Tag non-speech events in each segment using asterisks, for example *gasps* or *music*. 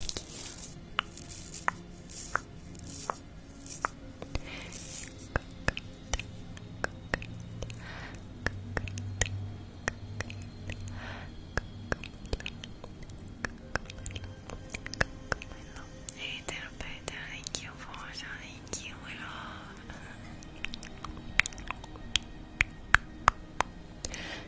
Ethan, Peter, thank you for joining. you, Willow.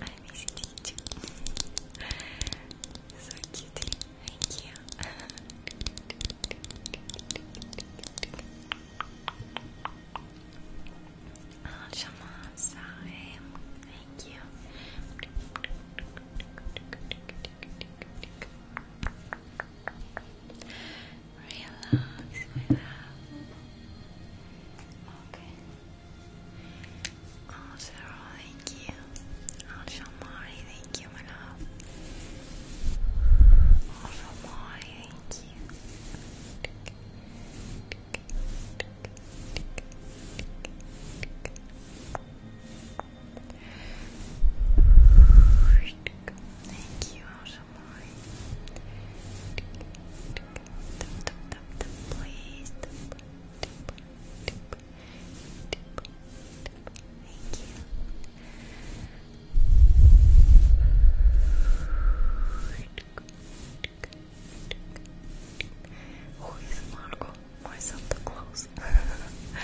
I'm hesitating too. so cute. Thank you. oh, Shamasa, thank you. Relax, Okay. Oh, thank you. Oh, Shamari, thank you, my love. Oh, Shamari, thank you. Thank you, Alshamari. Please, deeper, Thank you. Marco, more Santa Claus. Tick, tick,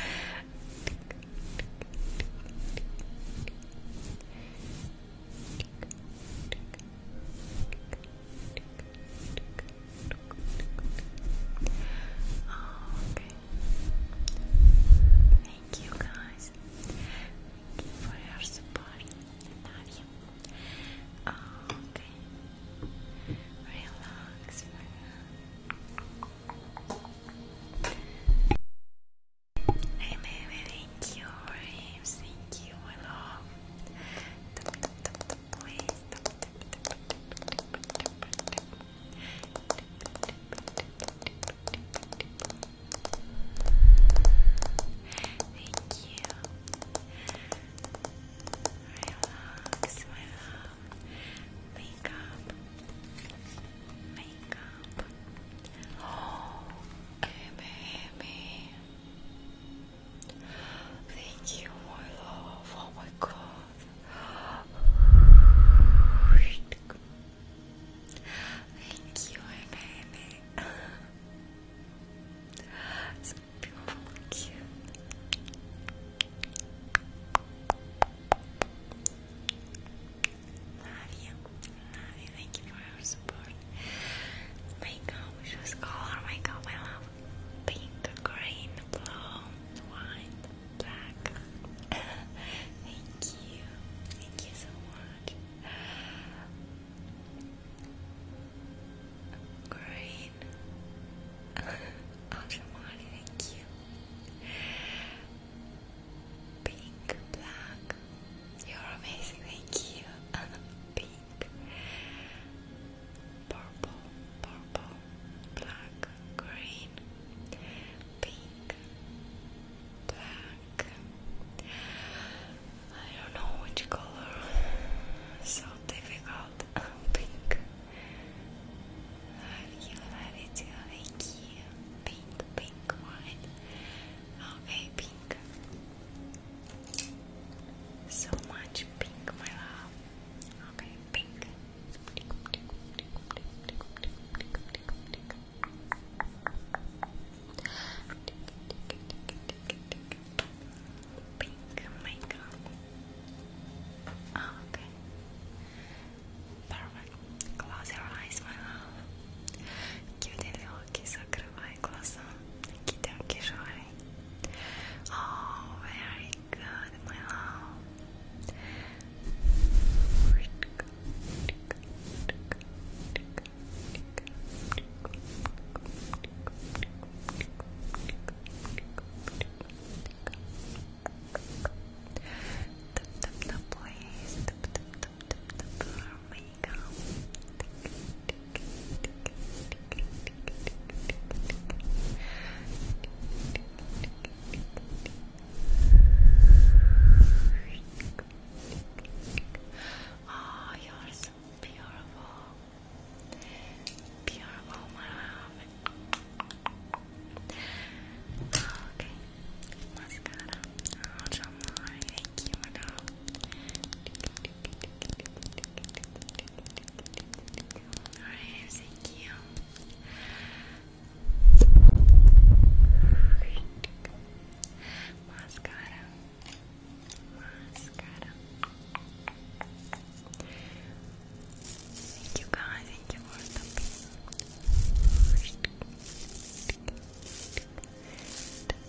Thank you guys. for your support. love you. Okay. Relax for now. Hey baby, thank you, Raves. Thank you, my love please Thank you. Relax, my love. Wake up. Wake up. Oh, baby. Thank you, my love. Oh my god. Thank you, my so beautiful, cute. Love you, Thank you for your support. Makeup, just color makeup. I love pink, green, blue, white, black. *laughs* Thank you. Thank you so much. Green. Ashamari, *laughs* thank you. Pink, black. You're amazing, thank you. *laughs* pink, purple, purple, black, green, pink, black. I don't know which color. So difficult. *laughs* Pink. Have you had it? you. Pink, pink, white. Okay, pink. So much pink, my love. Okay, pink. Pink makeup. Oh, okay. Perfect. Close your eyes, my love. Kiedy oki zakrywają glasa, kiedy oki żoje, Oh, very good, my love. Tap tap tap please. Tap tap tap tap tap for makeup. Oh, you're so beautiful. Beautiful, my love. Okay, mascara. Oh, Jamari, thank you, my love. Alright, thank you. Mascara. Thank you guys, thank you for stopping.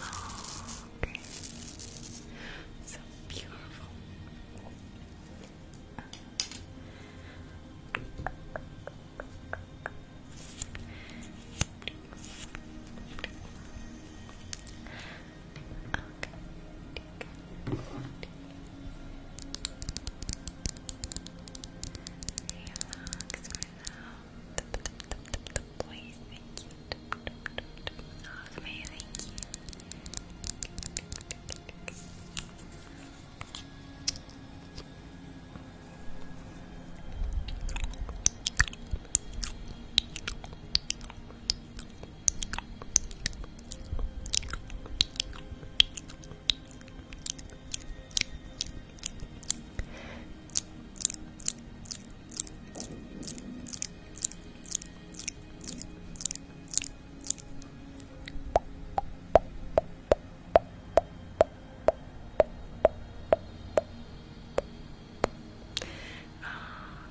Oh, okay. So beautiful. Okay the boys, thank you. Oh, May, thank you.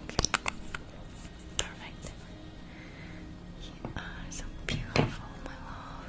Okay. Perfect. You are so beautiful, my love.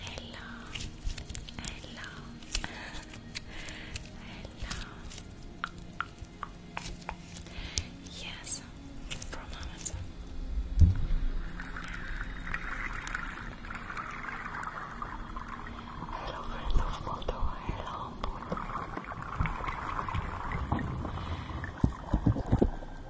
Hello, hello, hello. Yes, from Amazon. Hello, hello, photo, hello. Hello,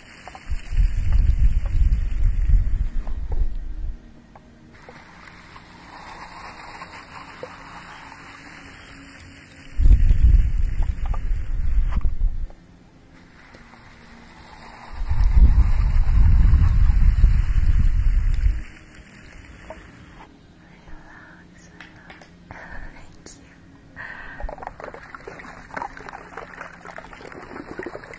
Relax, relax. Thank you.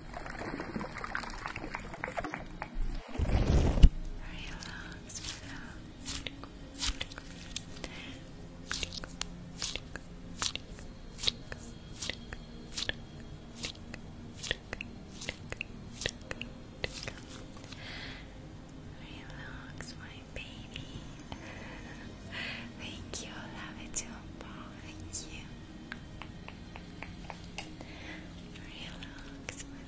Relax, my baby. *laughs* Thank you, love it too, Paul. Thank you. Relax, my love.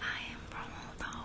I am from Moldova.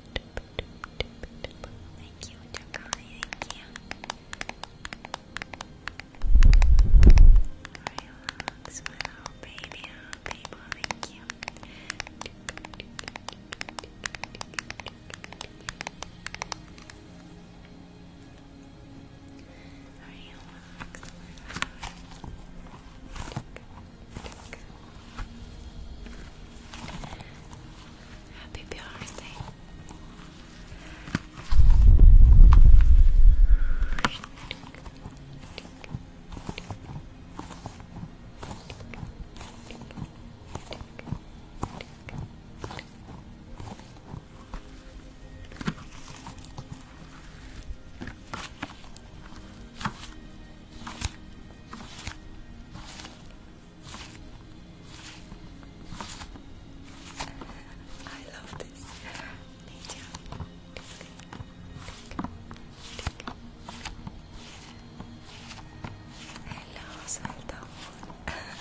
Thank you, Takani. Thank you. Relax, my little baby. Oh, baby, thank you. Relax, my Happy birthday. I love this medium. Hello, Sultan. Relax.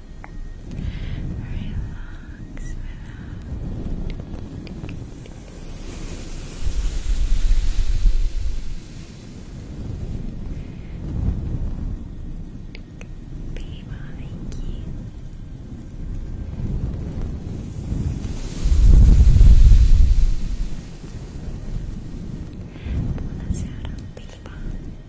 Relax without People, thank you. Buonasera, Big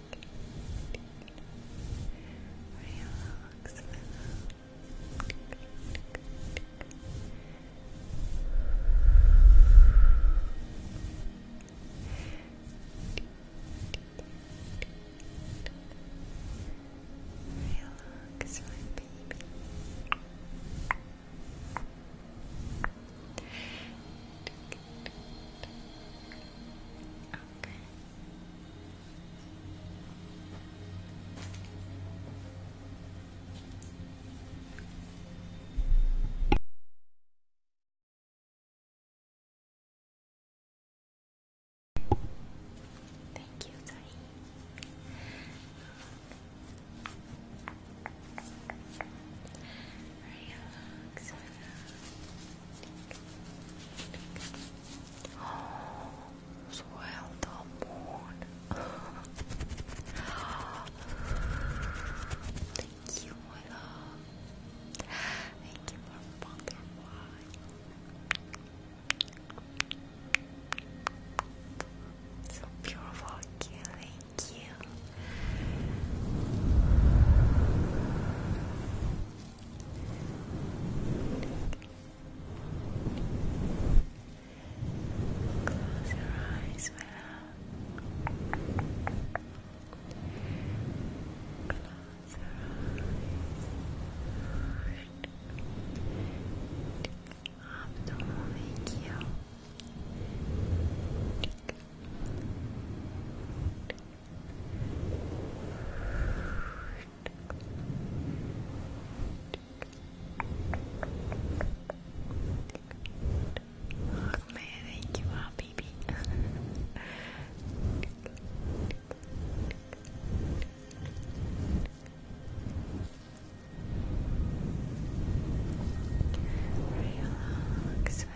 Relax, Relax, baby. Okay. Thank you, Tari. Relax, relax. Swell the moon. Thank you, my love. Thank you for butterfly. So beautiful, cute. Thank you. Close your eyes, my Close your eyes. Abdomen kill. Close Oh man, thank you, baby. Relax, relax. Relax,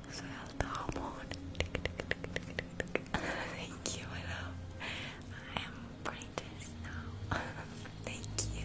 Thank you, my love. I am brightest now. *laughs* Thank you.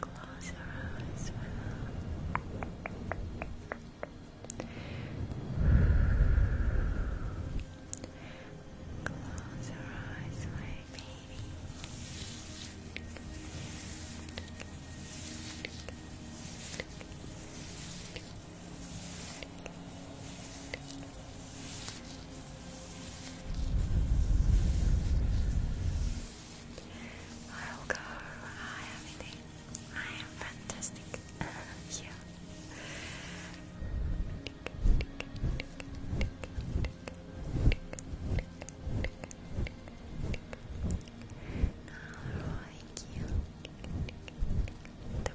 Close your eyes well. Close your eyes, baby. eyes. I'll go. I am eating. I am fantastic. *laughs* yeah. Now, thank you.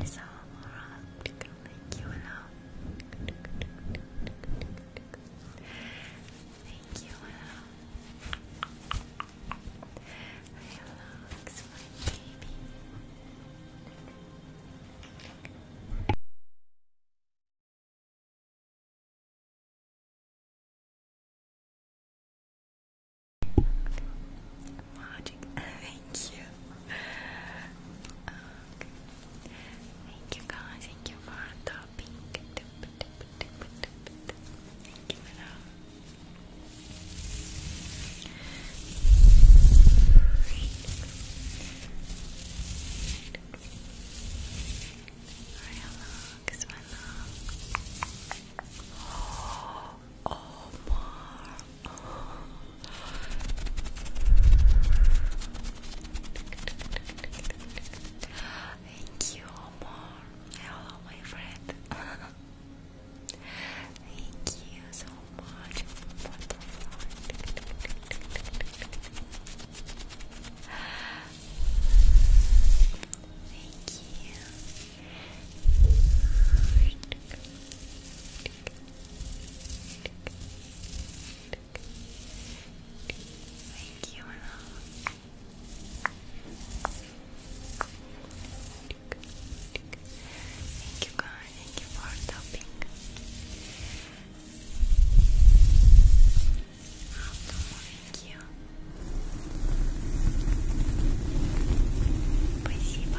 I saw Morat. Thank you, hello. Thank you, hello. Relax, my baby. Magic, thank you. Thank you guys, thank you for topping. Thank you, my Relax, my love. Oh, Omar, oh, Thank you, Omar. Hello, my friend. *laughs* Thank you so much for the Thank you. Thank you, Thank you, guys. Thank you for stopping. Thank you. Спасибо.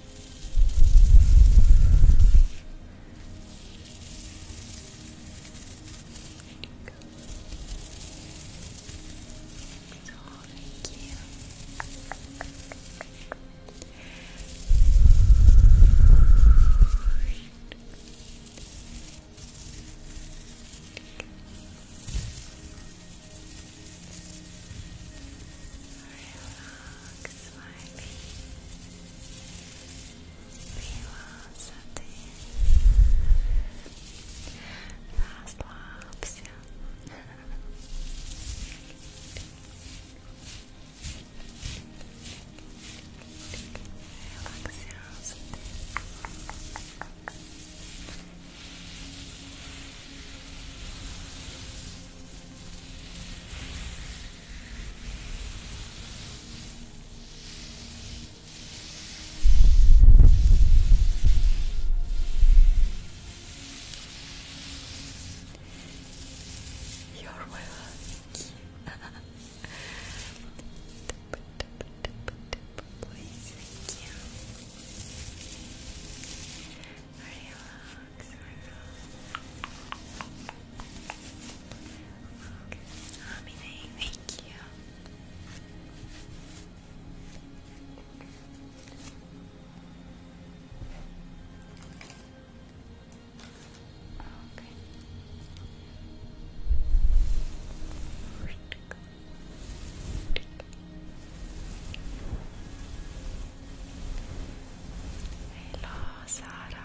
So thank you. Relax smiling. You are Расслабься. Релаксируйся. Relax. You're my lucky. *laughs* Please, thank you. Relax. Relax, thank you. Okay. Hello, Sarah.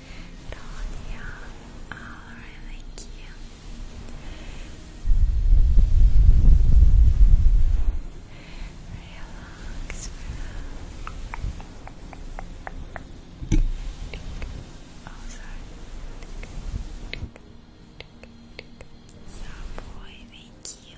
Tonya, alright, thank you. Relax, relax. Oh, sorry. So, thank you.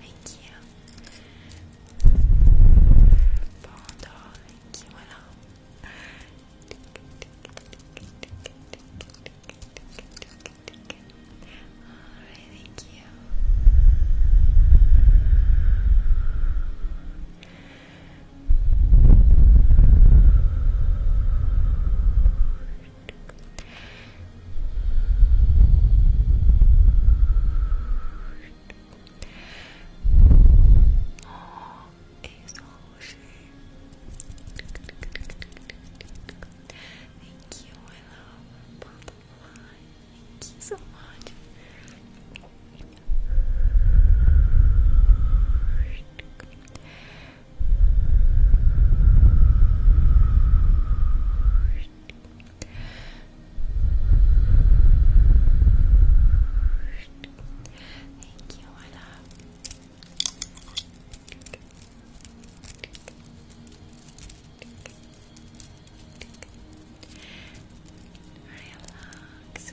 Reiki. Pendant Reiki, thank you. Oh, exhaustion. Thank you, my love. Butterfly. Thank you so much. Thank you, my love. Relax,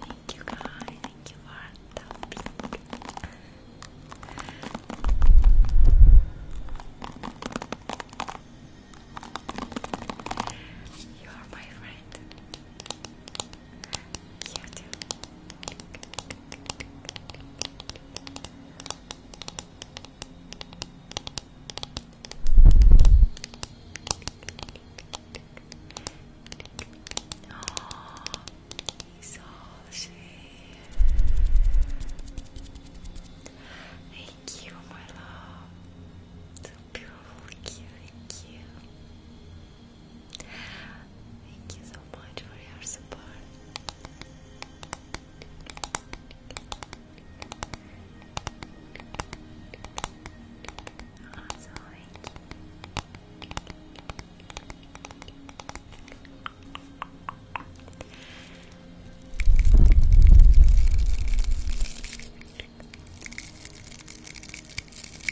Thank you guys, thank you for the you are my friend. Oh, he's all Thank you, my love. beautiful, cute, thank you. Thank you so much for your support. Also, thank you.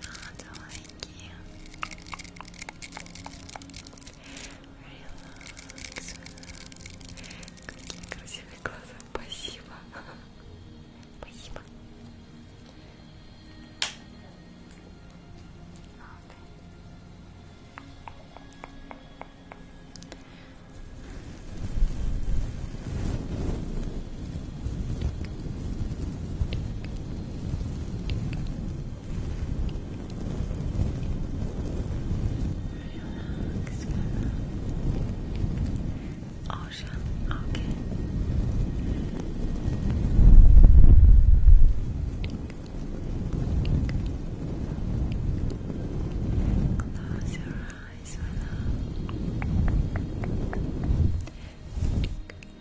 Сладонькие. Релакс. Какие красивые глаза. Спасибо. Спасибо. Ладно. Relax, relax. okay. Close your eyes, relax.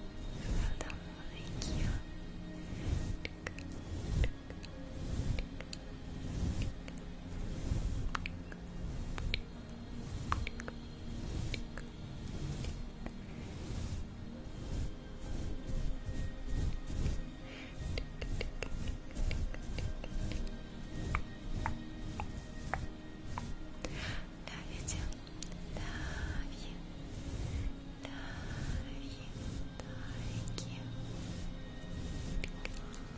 Well done, thank you. Love you too. you. Love you. Thank you.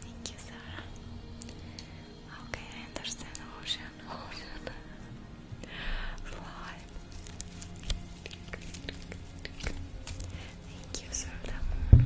Thank you, Sarah. Okay, I Ocean, ocean. Fly. Thank you, Sir Moon.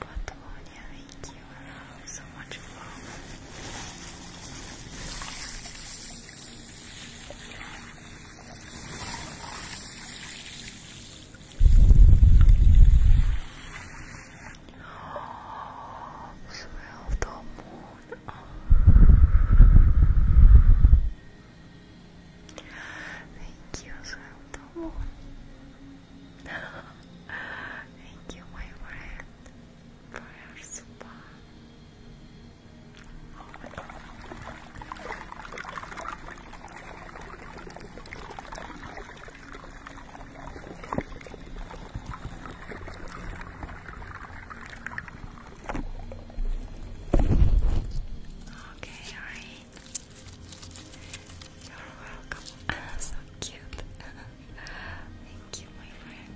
Patagonia, thank you so much love. Smell the moon. Thank you, smell the moon. Thank you, my friend, for your support. Okay, alright. You're welcome. *laughs* so cute. *laughs* Thank you, my friend.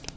Okay.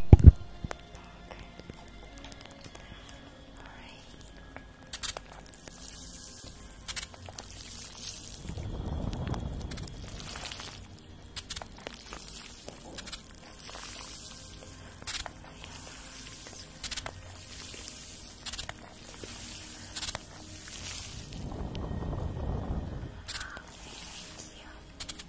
Okay. All right. Thank you.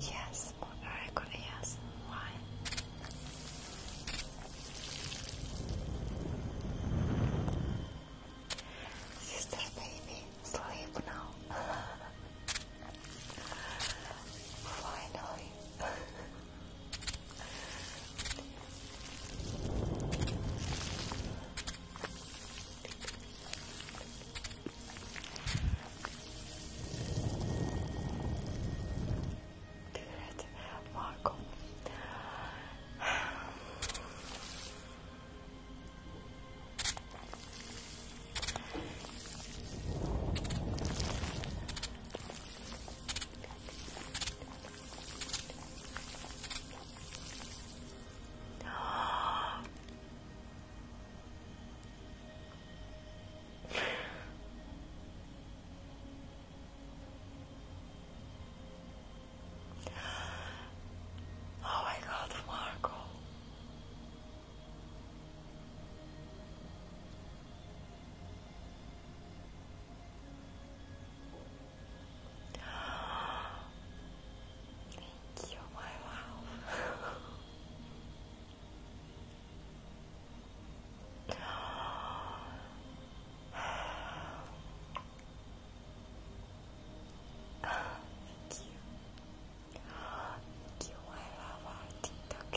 Yes, very good, yes. Why? Sister baby, sleep now. *laughs* Finally. *laughs* Evet, Marco. Oh my God, Marco. Thank you, my wow. Thank you. Thank you, I love our TikTok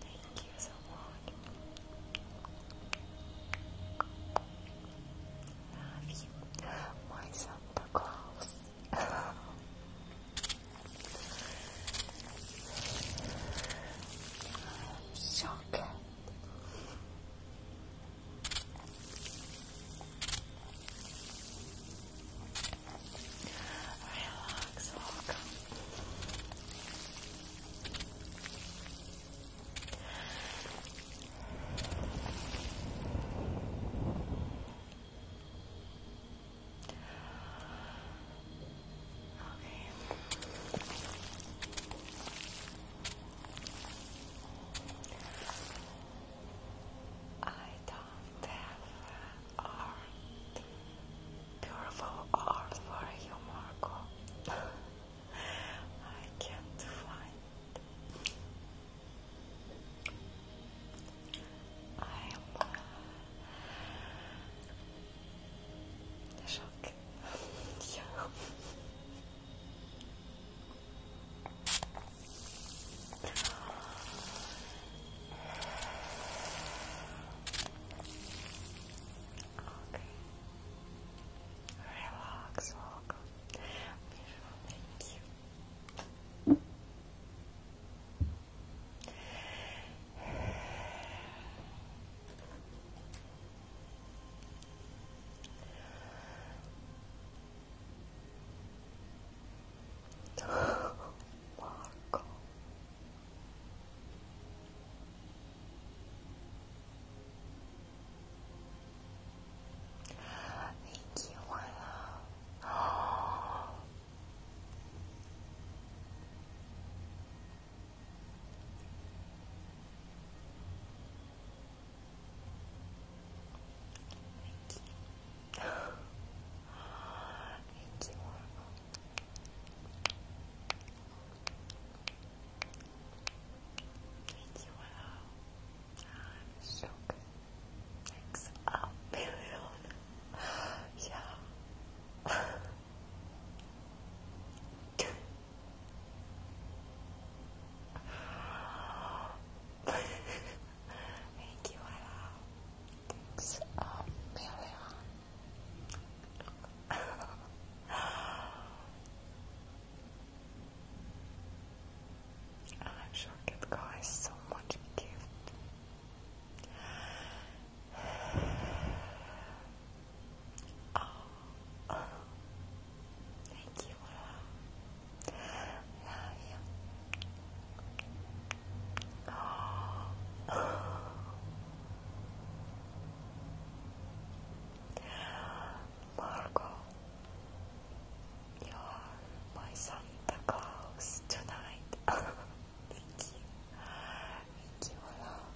Thank you so much. *laughs* Love you, my Santa Claus. i Relax, welcome. Okay. I don't have art, beautiful art for you, Marco. *laughs* I can't find. I am uh, shocked. *laughs* yeah. Relax, welcome. *sighs* Beautiful, thank you. Marco. Thank you, my *gasps* love. Thank you. Thank you, Thank you, I'm so good. Thanks a million. Yeah. Thank you, Ella. Thanks, um, Miriam. I'm sure that guy so much gift. thank you. Ella. Love you. are my Santa Claus tonight. *laughs* Thank you. Thank you a lot.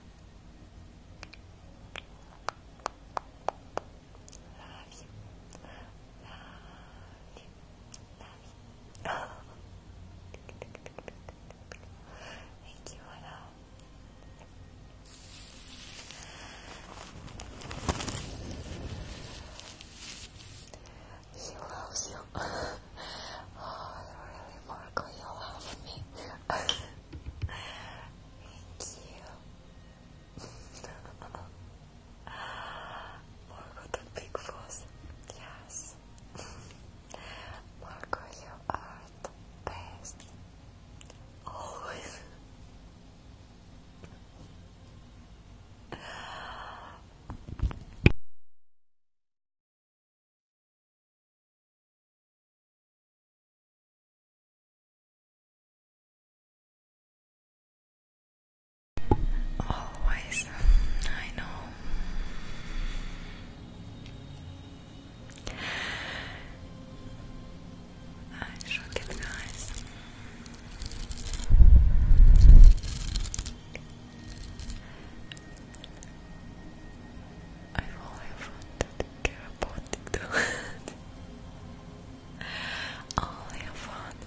Love you. Love you. Love you. Thank you, *laughs* He loves you. *laughs* oh, really, Marco, you love me. *laughs* Thank you. Marco the Big Boss, yes. Marco, you are the best. Always. Always, I know. I shook it, guys. I've always wanted to care about TikTok. Only a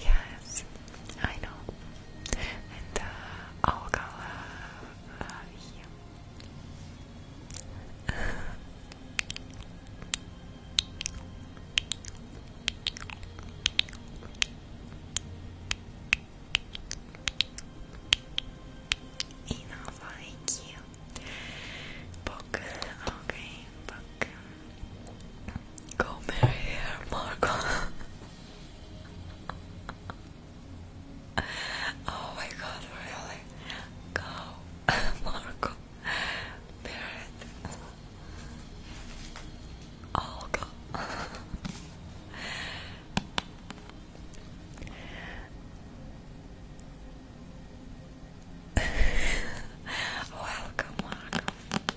yes, I know. And uh, i Enough, thank you. Book, okay, book. Comb your hair, Marco. oh my god, really? Go, Marco. Bear it. I'll go. Welcome, welcome.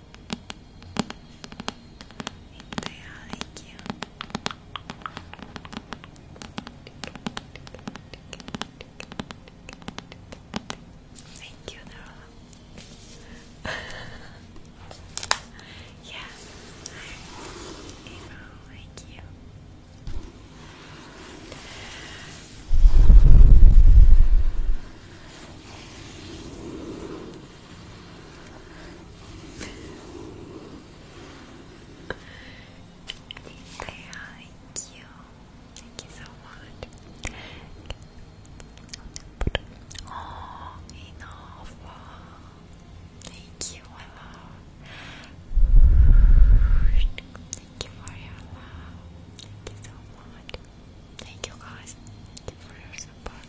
Thank you. Thank you, Nora. yeah, Emo, thank you. Thank you. Thank you so much. Oh, enough. Thank you, my Thank you for your love. Thank you so much. Thank you guys. for your support.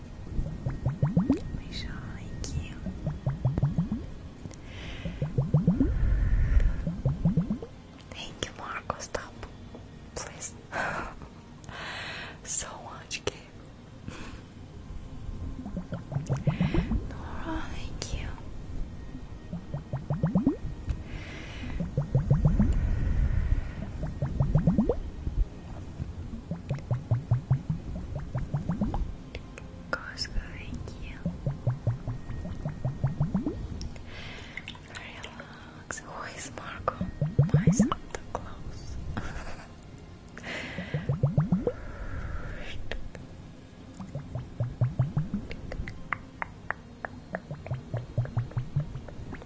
We you. Thank you, Marco. Stop, please. *laughs* so much game. Nora, thank you. Goes going you. Relax. Who is Marco? My Santa Claus.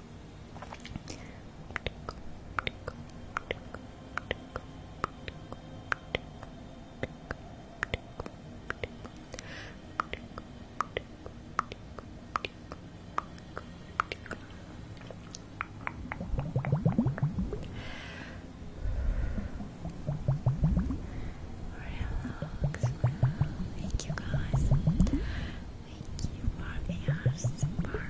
Relax. Thank you guys. Thank you for super.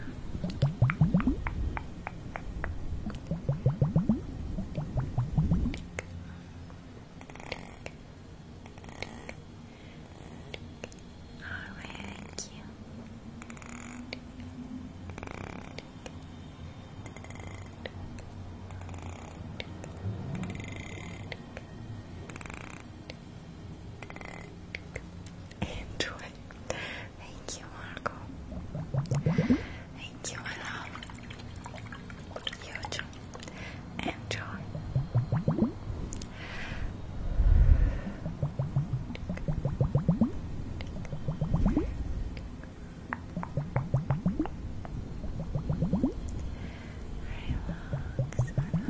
Alright, thank you. Enjoy. Thank you, Marco. Thank you, I love you Enjoy. Relax, relax.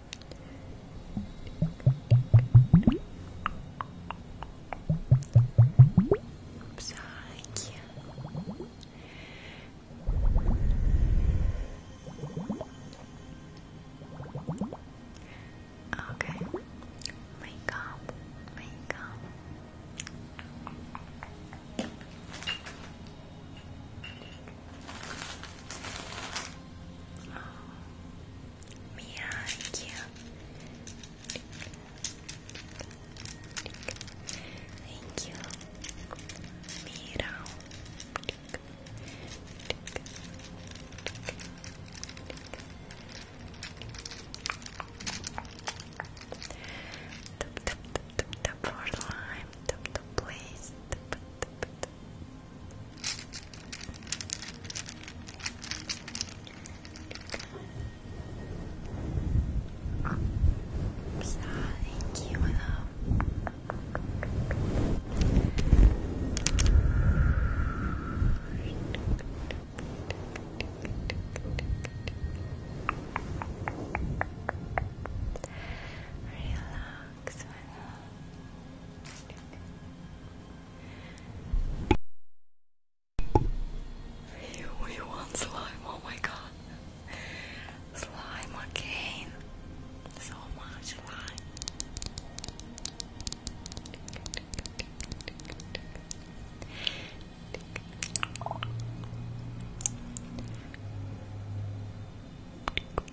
Psyche. Okay, make up, Oh, thank you. Thank you. Mira tap tap for slime, tap Oh, thank you, love. Relax relax, You, want slime? Oh my god. Slime again. So much slime.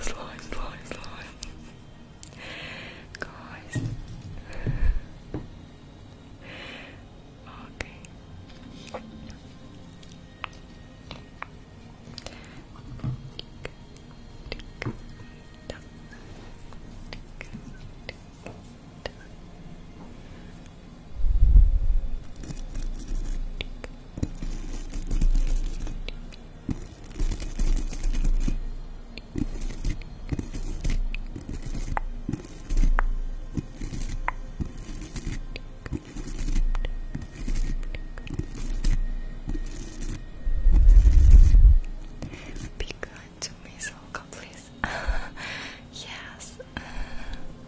slime, slime, slime. Guys. Okay. Be to me, Soka, please. *laughs* yes. *laughs*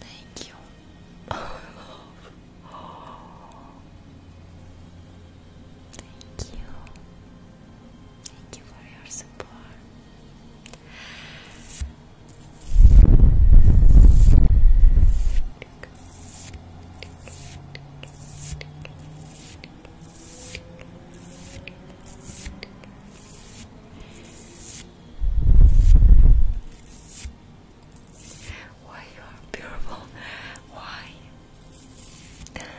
thank you. Oh, love. Thank you. Thank you for your support. Thank you. Why you are beautiful? Why? Relax,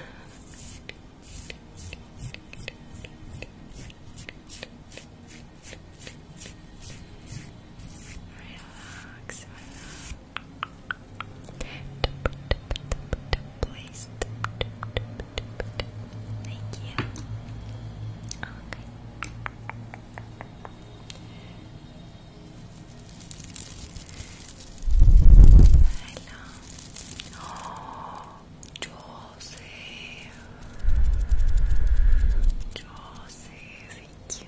Please. Thank you. Hello. Oh, Joseph. Joseph, thank you,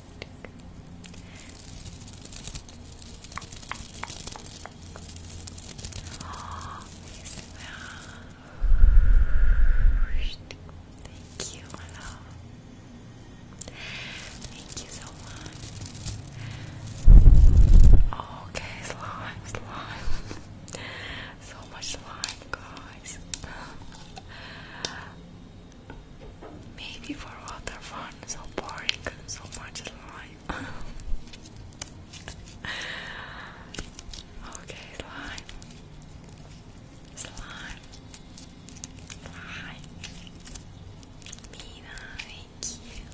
Oh, Thank you, my love. Thank you so much. *laughs* okay, slime, slime. *laughs* so much slime, guys. Maybe for water fun, so boring, so much slime. *laughs* okay, slime. Slime. Slime. Mina, thank you.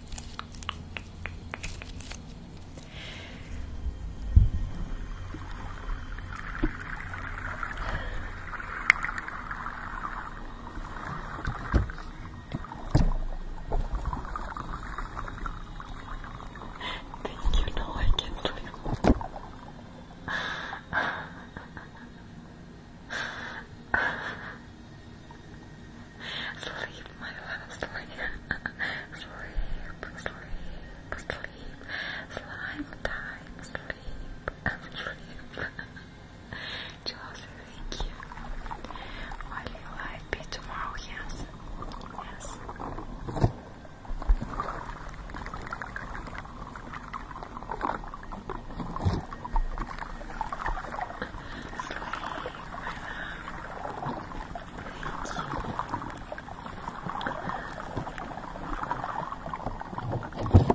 Thank you, no, I can sleep. sleep, my love, sleep. sleep, sleep, sleep. Slime time, sleep, sleep. Chelsea, thank you. Will you live be tomorrow? Yes. Yes. Thank you.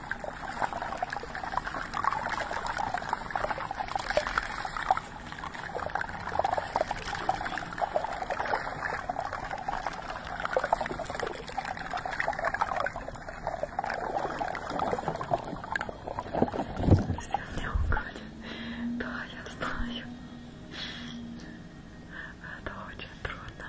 Если меня украли, то я знаю. Это очень трудно.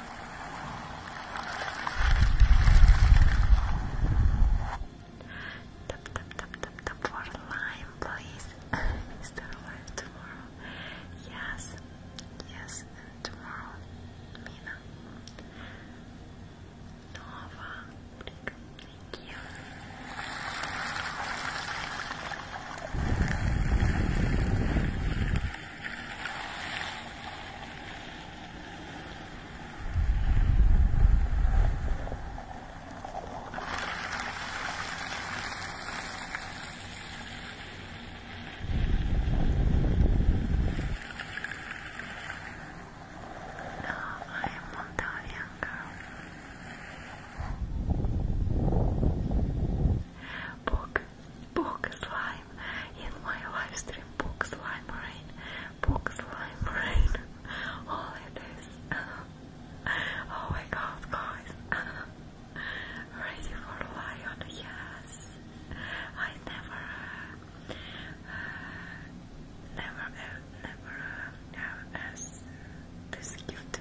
Tap tap tap tap tap for lime, please. *laughs* Is there live tomorrow? Yes, yes, and tomorrow, Mina, Nova, thank you. No, I am Montalian girl. Book Book slime in my live Book slime rain. Book slime rain. *laughs* All it is. *laughs* oh my god, guys. *laughs* Ready for lion? Yes. I never, uh, never, uh, never uh, this gift.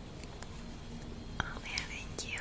Oh yeah, thank you.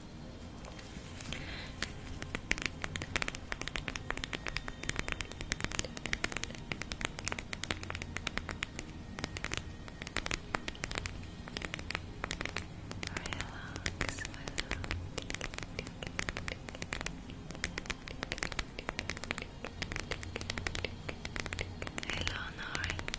Relax, my love. Hello, Nori.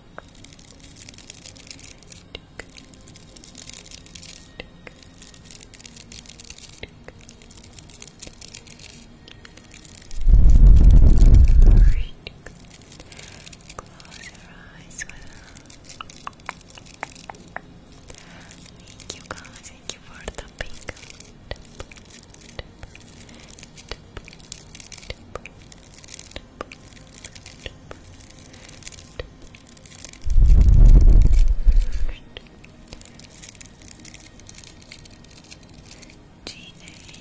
eyes Thank you guys, thank you for the pink thank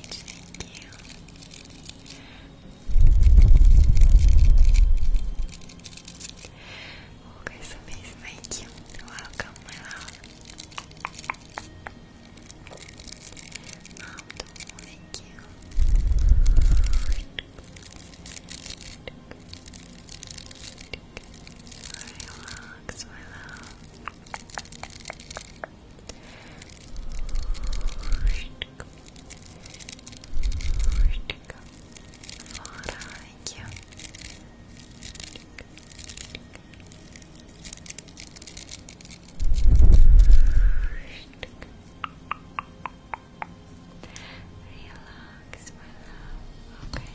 you. Oh, guys, amazing. Thank you. Welcome, Mouth, thank you. Relax, my love. Flora, Relax, my love. Okay. Okay.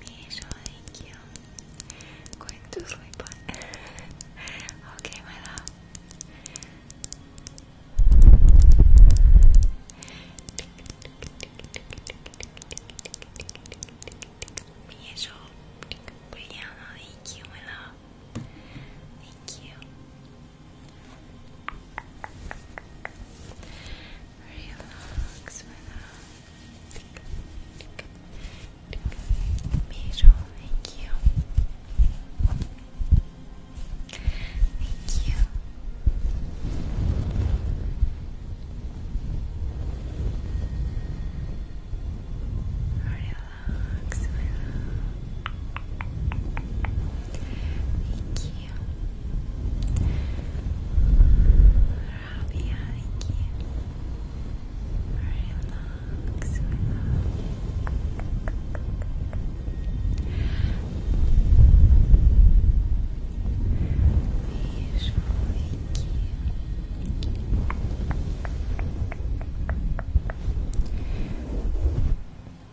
Misha, thank you. Going to sleep on. okay, my love. Beijo, Brianna, thank you, my love. Thank you. Relax, relax. thank you. Thank you. Relax relax, Thank you. Rabia, thank you. Relax, Thank you.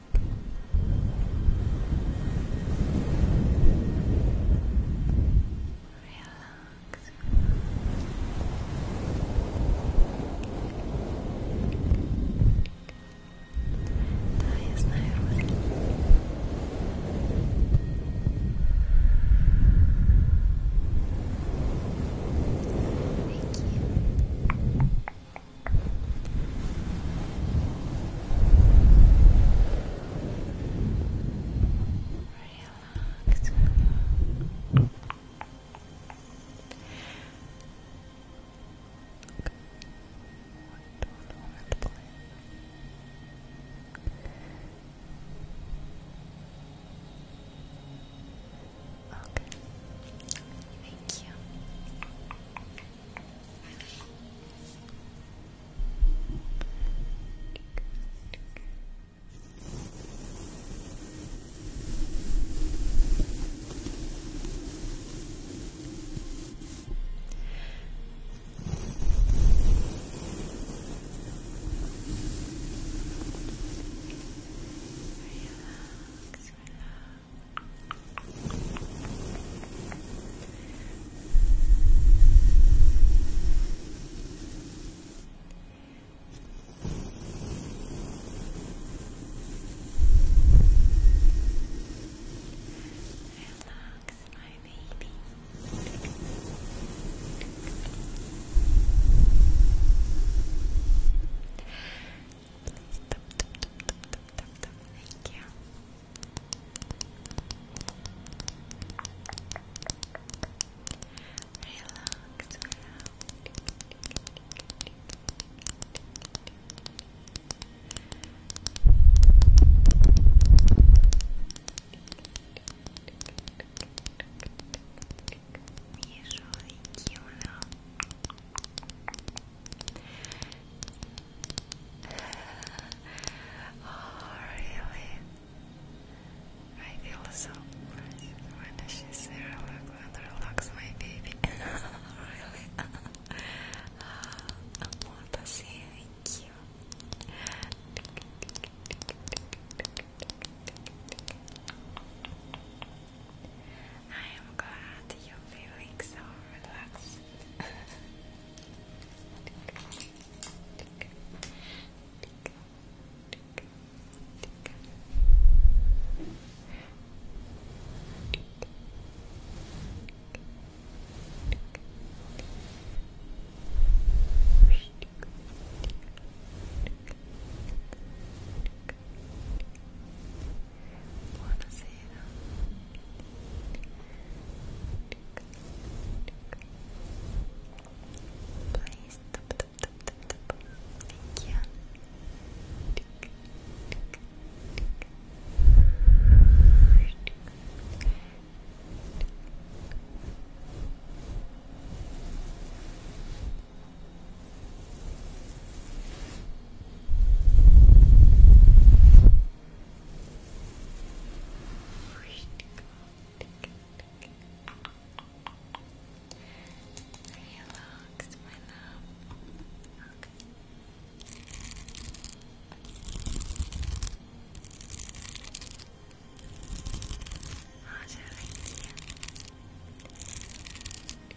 Relax. Da jest najróżniej. Thank you. Relax. Okay. Relax. Okay. Thank you. Relax, Relax, my baby. Thank you. Relax, Usually, you know. *sighs* oh, really? I feel so when she's there. Look, and relax, my baby. *laughs* really? *laughs* I want to say thank you. I am glad you're feeling so relaxed. Buonasera. Thank you. Relax, my love. Okay. How's everything?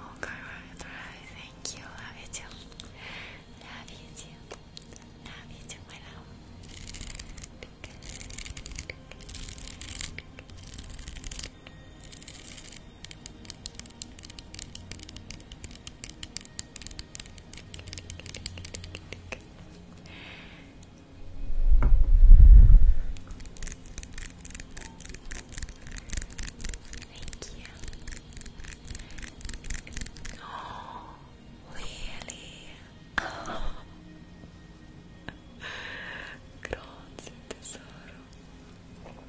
Oh, God, thank you. Love you too. Love you too. Love you too, my love. Thank you. Oh, *gasps* really? Oh. *gasps* Grazie tesoro.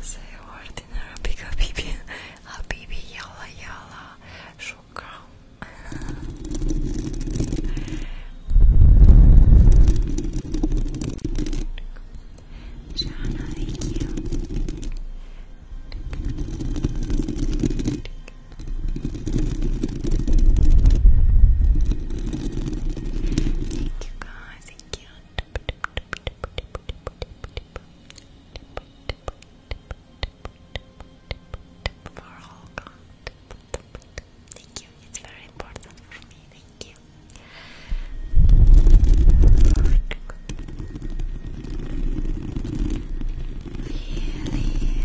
Say a word in a Habibi. Habibi, yalla yalla. thank you nice and For all God. Thank you. It's very important for me. Thank you. Really?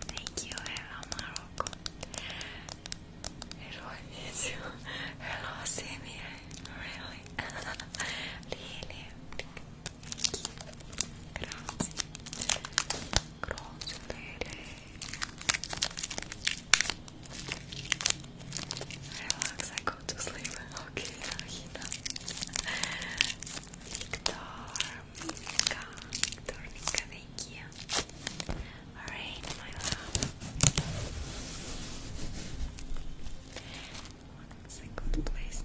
Thank you, hello Morocco. Hello, you. Hello, Samir. Really? really? Grazie. Grazie, lady. Relax, I go to sleep. *laughs* Okay, Rahina. Victor. Amiga, Dornica, thank you. Alright, my love. One second, please.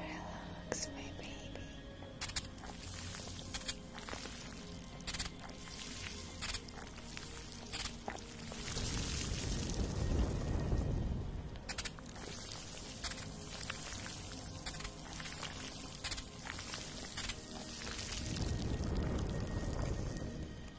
Relax, my baby. Relax,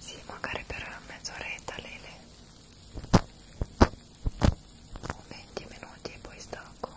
Sì, magari per mezz'oretta Lele o 20 minuti e poi stacco.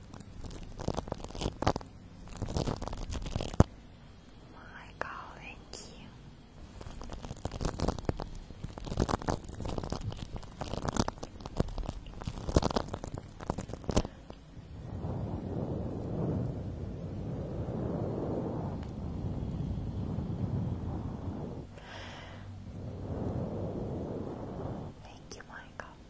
Oh my God, thank you. Thank you, Michael.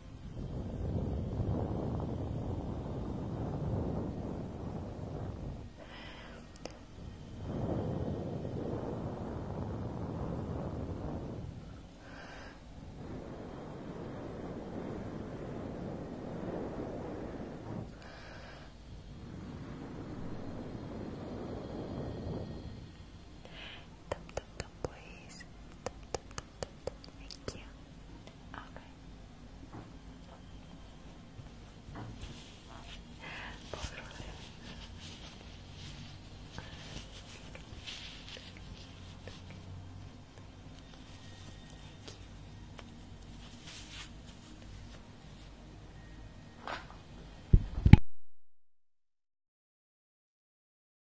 Tap tap tap please. Thank you. Alright.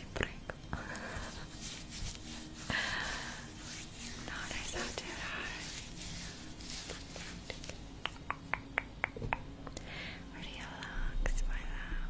ti prego *laughs* non relax my love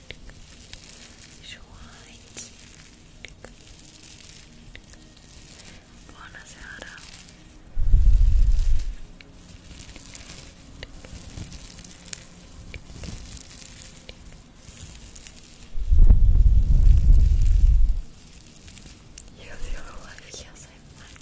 Schweiz. Buonasera. You have the other one? Yes, I have mine.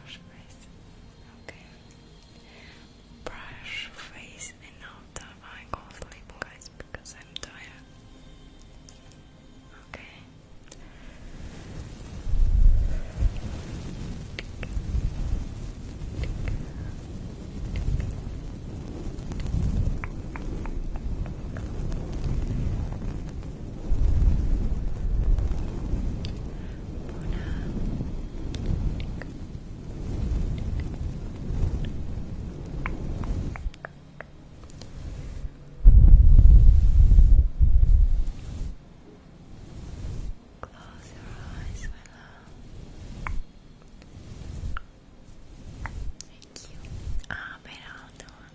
wash face. Okay. Brush face and after I go sleep, guys, because I'm tired. Okay. Close your eyes, my Thank you. Up and out.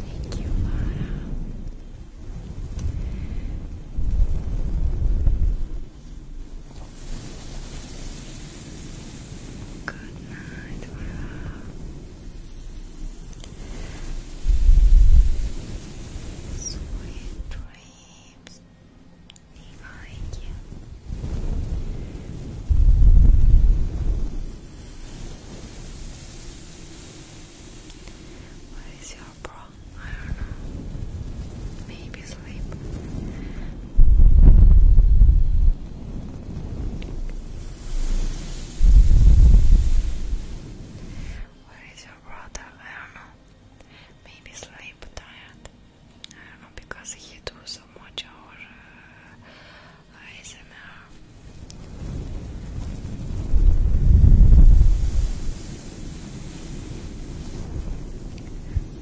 Thank you, Laura. Good night, my Sweet dreams. What is your problem? I don't know. Maybe sleep. Where is your brother? I don't know. Maybe sleep tired. Ah, because he do so much our uh,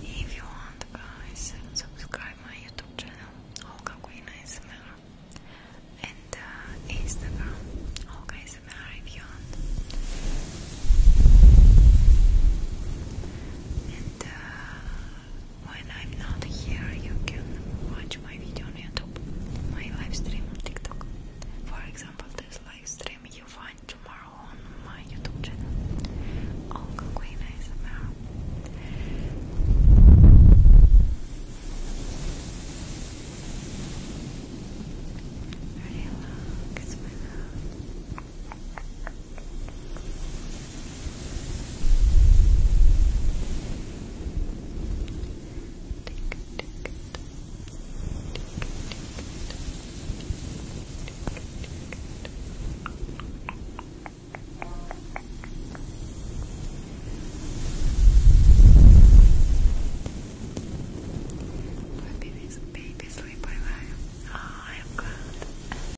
If you want, guys, subscribe my YouTube channel Olga Queen ASMR and uh, Instagram Olga ASMR if you want. And uh, when I'm not here, you can watch my video on YouTube, my live stream on TikTok. For example, this live stream you find tomorrow on my YouTube channel. Olga Queen ASMR. Relax, my Baby sleep, baby sleep, bye oh, I am glad.